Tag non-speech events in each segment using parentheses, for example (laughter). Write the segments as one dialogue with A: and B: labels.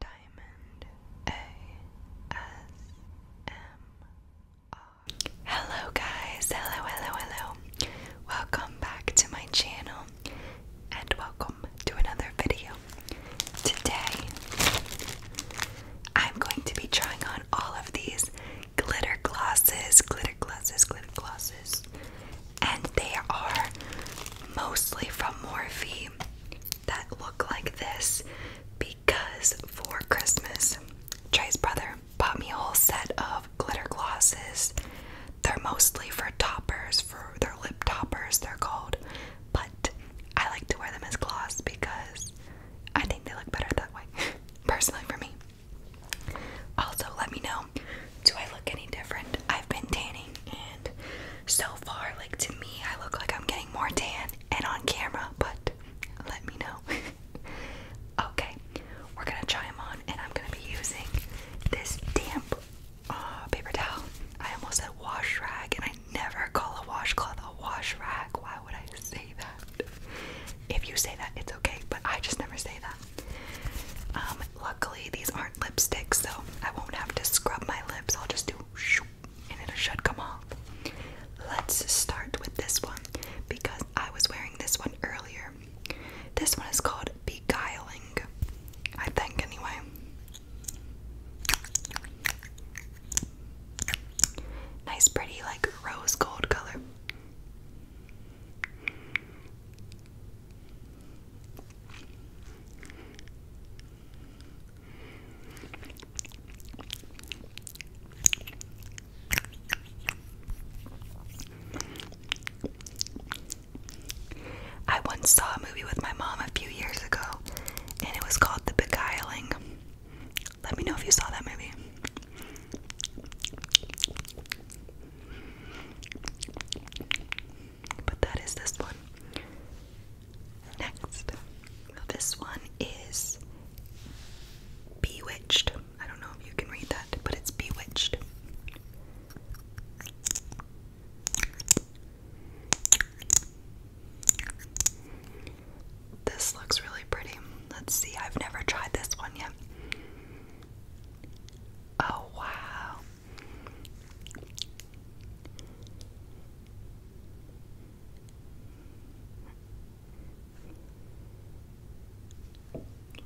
A: Diamond ASMR. Hello, guys. Hello, hello, hello. Welcome back to my channel and welcome to another video. Today, I'm going to be trying on all of these glitter glosses, glitter glosses, glitter glosses, and they are mostly from Morphe that look like this because for Christmas, Trey's brother bought me a whole set of glitter glosses. They're mostly for toppers, for their lip toppers, they're called. But I like to wear them as gloss because I think they look better that way, (laughs) personally, for me. Also, let me know do I look any different? I've been tanning and so far, like to me, I look like I'm getting more tan and on camera, but let me know. (laughs) okay, we're gonna try them on, and I'm gonna be using this damp uh, paper towel. I almost said wash rag, and I never call a washcloth a wash rag. Why would I say that? If you say that, it's okay, but I just never say that. Um, luckily, these aren't lipsticks, so I won't have to scrub my lips. I'll just do and it should come off. Let's start with this one because I was wearing this one earlier. This one is called Beguiling, I think, anyway. Nice, pretty, like rose gold color. I once saw a movie with my mom a few years ago, and it was called The Beguiling. Let me know if you saw that movie but that is this one. Next, this one is Bewitched. I don't know if you can read that, but it's Bewitched. This looks really pretty. Let's see, I've never tried this one yet. Oh, wow.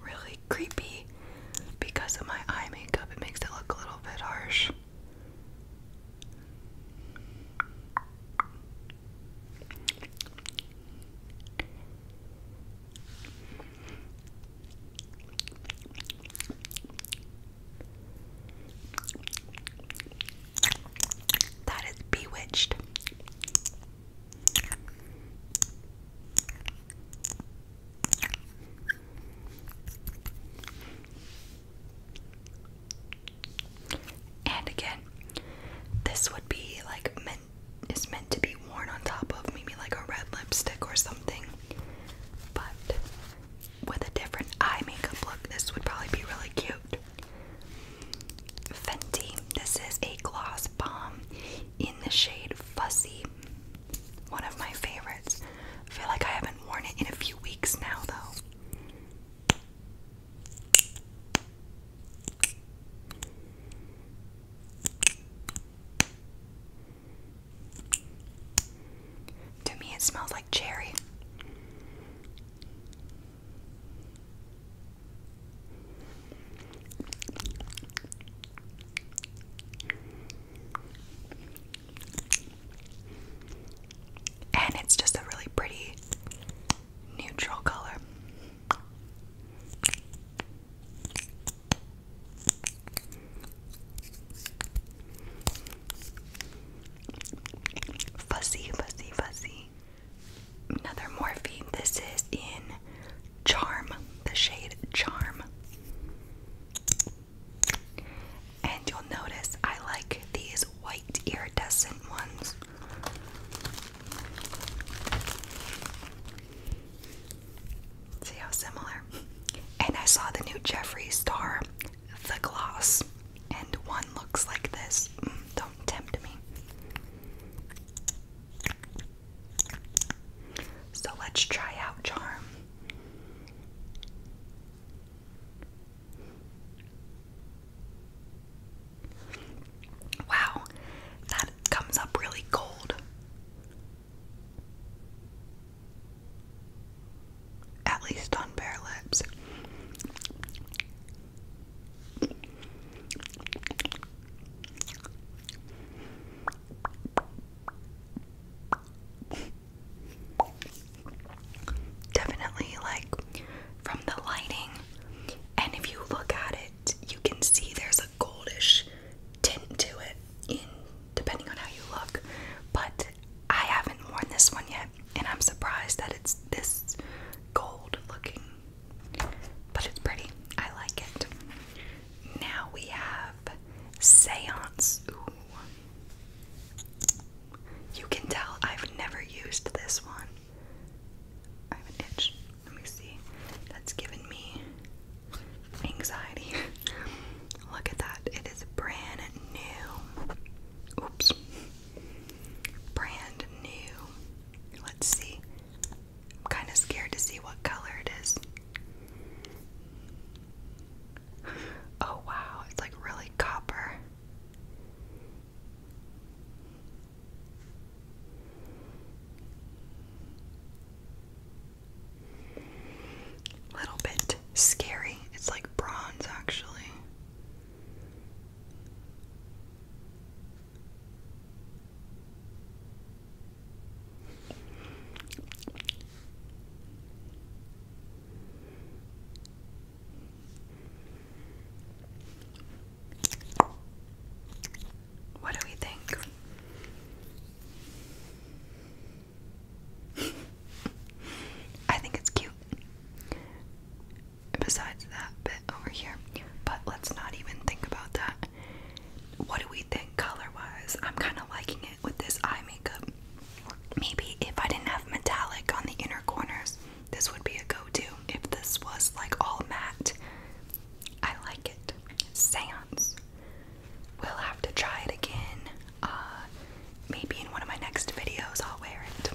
A: Really creepy because of my eye makeup, it makes it look a little bit harsh. That is bewitched. And again, this would be like meant is meant to be worn on top of maybe like a red lipstick or something. But with a different eye makeup look, this would probably be really cute. Fenty, this is a gloss bomb in the shade Fussy, one of my favorites. I feel like I haven't worn it in a few weeks now, though. To me, it smells like cherry. And it's just a really pretty neutral color. Fuzzy, fuzzy, fuzzy. Another Morphe. This is in Charm, the shade Charm. And you'll notice I like these white iridescent ones. See how similar? And I saw the new Jeffree Star the gloss, and one looks like this. Mm, don't tempt me. So let's try out Charm. Wow, that comes up really cold at least on bare lips. Definitely, like from the lighting, and if you look at it, you can see there's a goldish tint to it, depending on how you look. But I haven't worn this one yet and I'm surprised that it's this gold looking, but it's pretty. I like it. Now we have Seance. You can tell I've never used this one. I have an itch. Let me see. That's given me anxiety. (laughs) Look at that. It is brand new. Oops. Brand new. Let's see. I'm kind of scared to see what color it is. Oh wow, it's like really copper. Little bit scary. It's like bronze actually. What do we think? I think it's cute besides that bit over here. But let's not even think about that. What do we think color wise? I'm kind of liking it with this eye makeup. Maybe if I didn't have metallic on the inner corners, this would be a go to. If this was like all matte, I like it. Seance. We'll have to try it again. Uh, maybe in one of my next videos I'll wear it.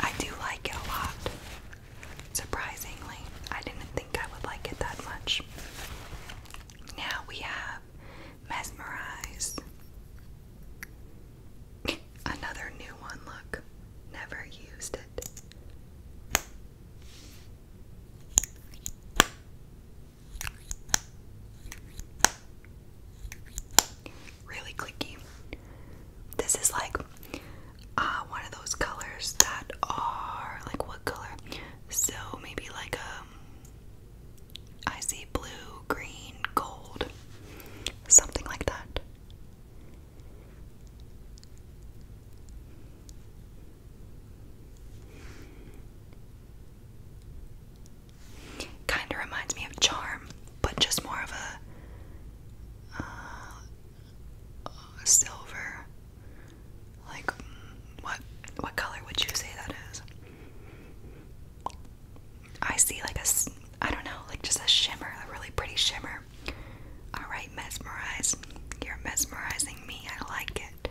A: I do like it a lot. Surprisingly, I didn't think I would like it that much. Now we have Mesmerize. (laughs) Another new one, look. Never used it really clicky. This is like uh, one of those colors that are like what color? So maybe like a um, see blue, green, gold, something like that. Kind of reminds me of Charm, but just more of a uh, silver. Like, mm, what what color would you say that is? I see like a I don't know, like just a shimmer, a really pretty shimmer. All right, mesmerize. You're mesmerizing me. I like it.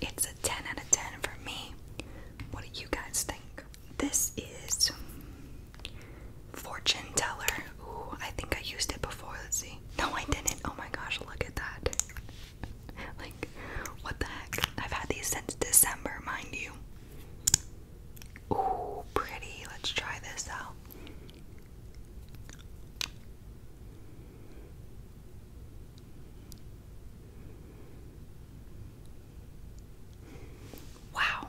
A: It's a 10 out of 10 for me. What do you guys think? This is Fortune Teller. Ooh, I think I used it before. Let's see. No, I didn't. Oh my gosh, look at that. (laughs) like, what the heck? I've had these since December, mind you. Ooh, pretty. Let's try this out. Wow.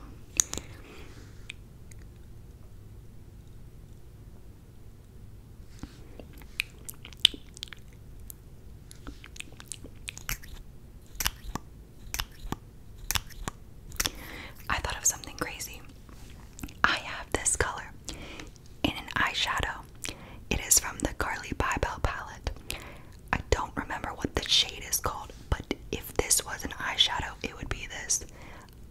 A: I thought of something crazy. I have this color in an eyeshadow. It is from the Carly Bybel palette. I don't remember what the shade is called, but if this was an eyeshadow, it would be this.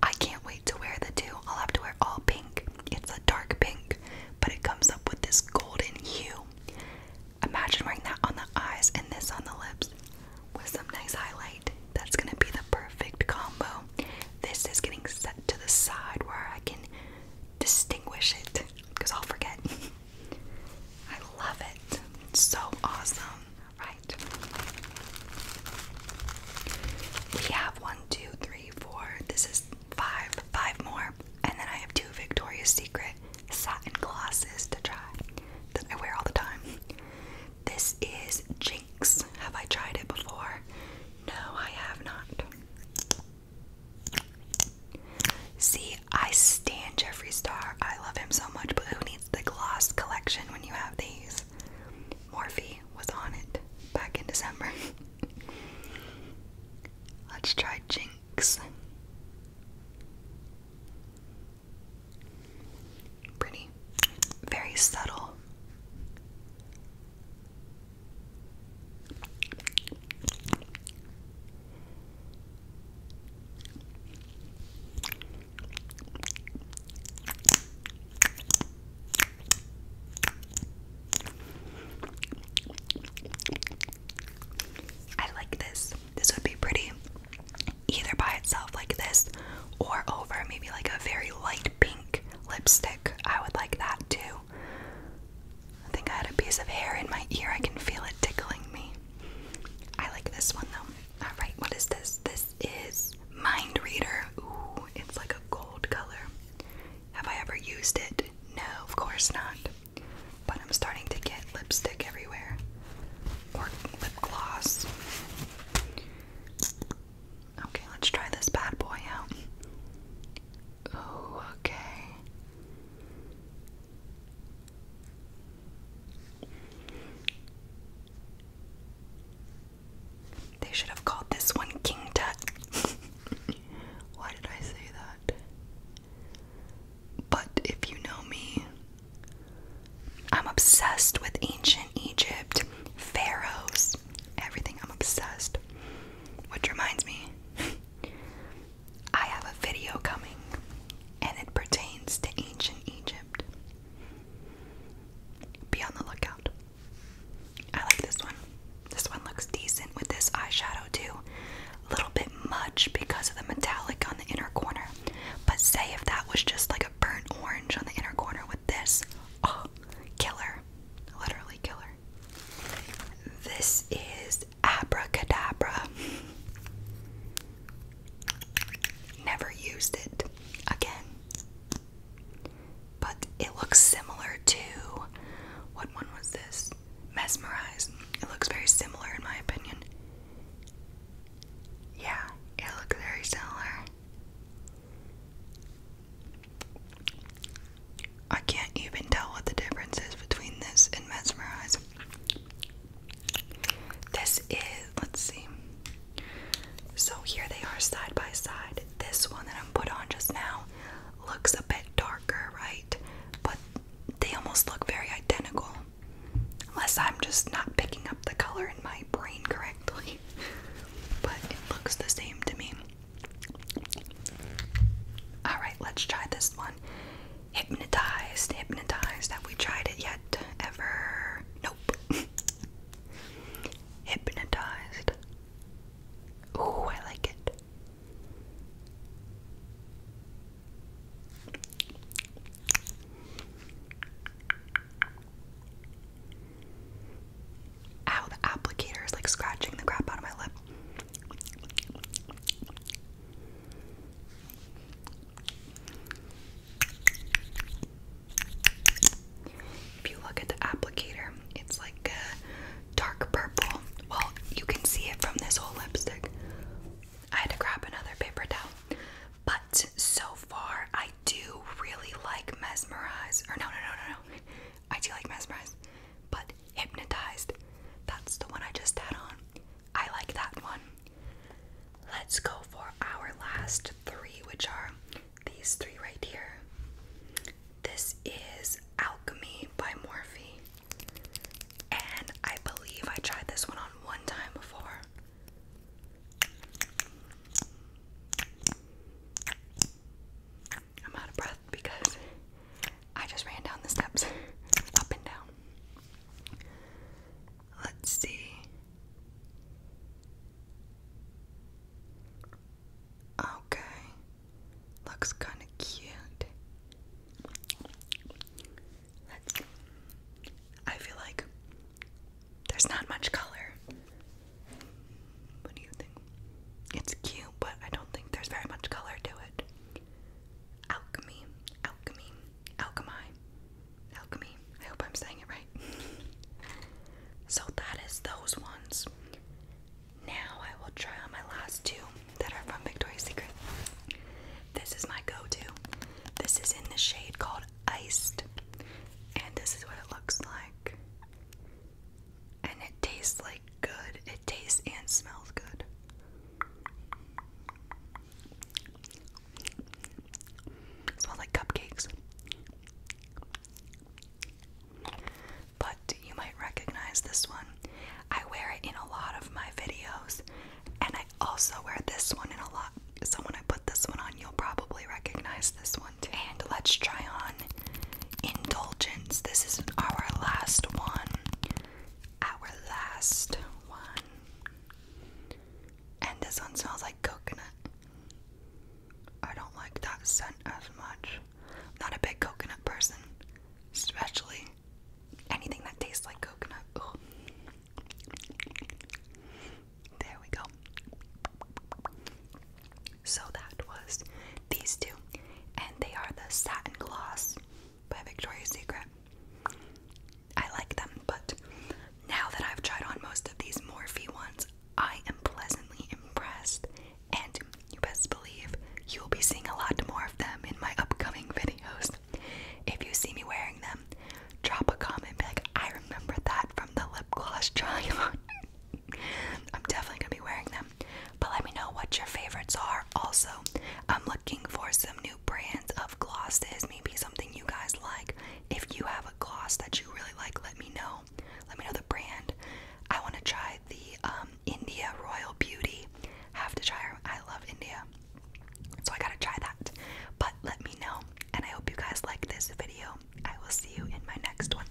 A: I can't wait to wear the two. I'll have to wear all pink. It's a dark pink, but it comes up with this golden hue. Imagine wearing that on the eyes and this on the lips with some nice highlight. That's gonna be the perfect combo this is getting set to the side where I can distinguish it because I'll forget. (laughs) I love it. so awesome. Right. We have one, two, three, four. This is five, five more. And then I have two Victoria's Secret satin glasses to try that I wear all the time. This is Jinx. Have I tried it before? No, I have not. See, I stand Jeffree Star. I love him so much, but who needs the gloss collection when you have these? Morphe was on it back in December. (laughs) Let's try Jinx. Pretty. Very subtle. I like this. This would be pretty either by itself, like this, or over maybe like a very light pink lipstick. I would like that too. I think I had a piece of hair in my ear. I can feel it tickling me. I like this one though. Alright, what is this? This is Mind Reader. Ooh, it's like a gold color. Have I ever used it? No, of course not. But I'm starting to get lipstick everywhere. Or lip gloss. Okay, let's try this bad boy out. Oh, okay. They should have called this one King Tut. (laughs) Why did I say that? But if you know me, I'm obsessed with ancient Egypt, pharaohs, everything. I'm obsessed. Which reminds me, (laughs) I have a video coming and it pertains to ancient Egypt. Be on the lookout. I like this one. This one looks decent with this eyeshadow too. little bit much because of the metallic on the inner corner. But say if that was just like a burnt orange on the inner corner with this, oh, killer. Literally killer. This is Abracadabra. Never used it again. But it looks similar to what one was this? Mesmerize. It looks very similar in my opinion. Yeah, it looks very similar. I can't even tell what the difference is between this and mesmerize. This is, let's see. So here they are side by side. This one that I'm put on just now looks a bit darker, right? But they almost look very identical. Unless I'm just not picking up the color in my brain correctly. (laughs) But it looks the same to me. Alright, let's try this one. Hypnotized, hypnotized. Have we tried it yet? Ever? Nope. (laughs) hypnotized. Ooh, I like it. Ow, the applicator is like scratching the crap out of my lip. If you look at the applicator, it's like a dark purple. Well, you can see it from this whole lipstick. I had to grab another paper towel. But so far, I do really like Mesmerize. Or no, no, no, no, no. I do like mesmerized, but hypnotized. That's the one I just had on. I like that one. Let's go for our last three, which are these three right here. This is Alchemy by Morphe. And I believe I tried this one on one time before. I'm out of breath because I just ran down the steps, (laughs) up and down. Let's see. Okay. Looks kind of cute. Let's, I feel like there's not much color. What do you think? It's cute, but I don't think there's very much color to it. Alchemy, alchemy, alchemy, alchemy. I hope I'm saying it right. (laughs) so that is those ones. Now I will try on my last two that are from Victoria's Secret. This is my go-to. This is in the shade called Iced, and this is what it looks like and it tastes like good. It tastes and smells good. smells like cupcakes. But you might recognize this one. I wear it in a lot of my videos, and I also wear this one in a lot. So I put this one on, you'll probably recognize this one too. And let's try on indulgence. This is our last one. Our last one. And this one smells like coconut. I don't like that scent as much. not a big coconut person, especially anything that tastes like coconut. There we go. So that was these two, and they are the Satin Gloss by Victoria's Secret. I like them, but now that I've tried on most of these Morphe ones, I am pleasantly impressed, and you best believe you'll be seeing a lot more of them in my upcoming (laughs) videos. If you see me wearing them, drop a comment, be like, I remember that from the lip gloss try on. (laughs) I'm definitely gonna be wearing them. But let me know what your favorites are. Also, I'm looking for some new brands of glosses, maybe something you guys like. If you have a gloss that you really like, let me know. Let me know the brand. I want to try the um, India Royal Beauty. Have to try her. I love India. So I gotta try that. But let me know. And I hope you guys like this video. I will see you in my next one.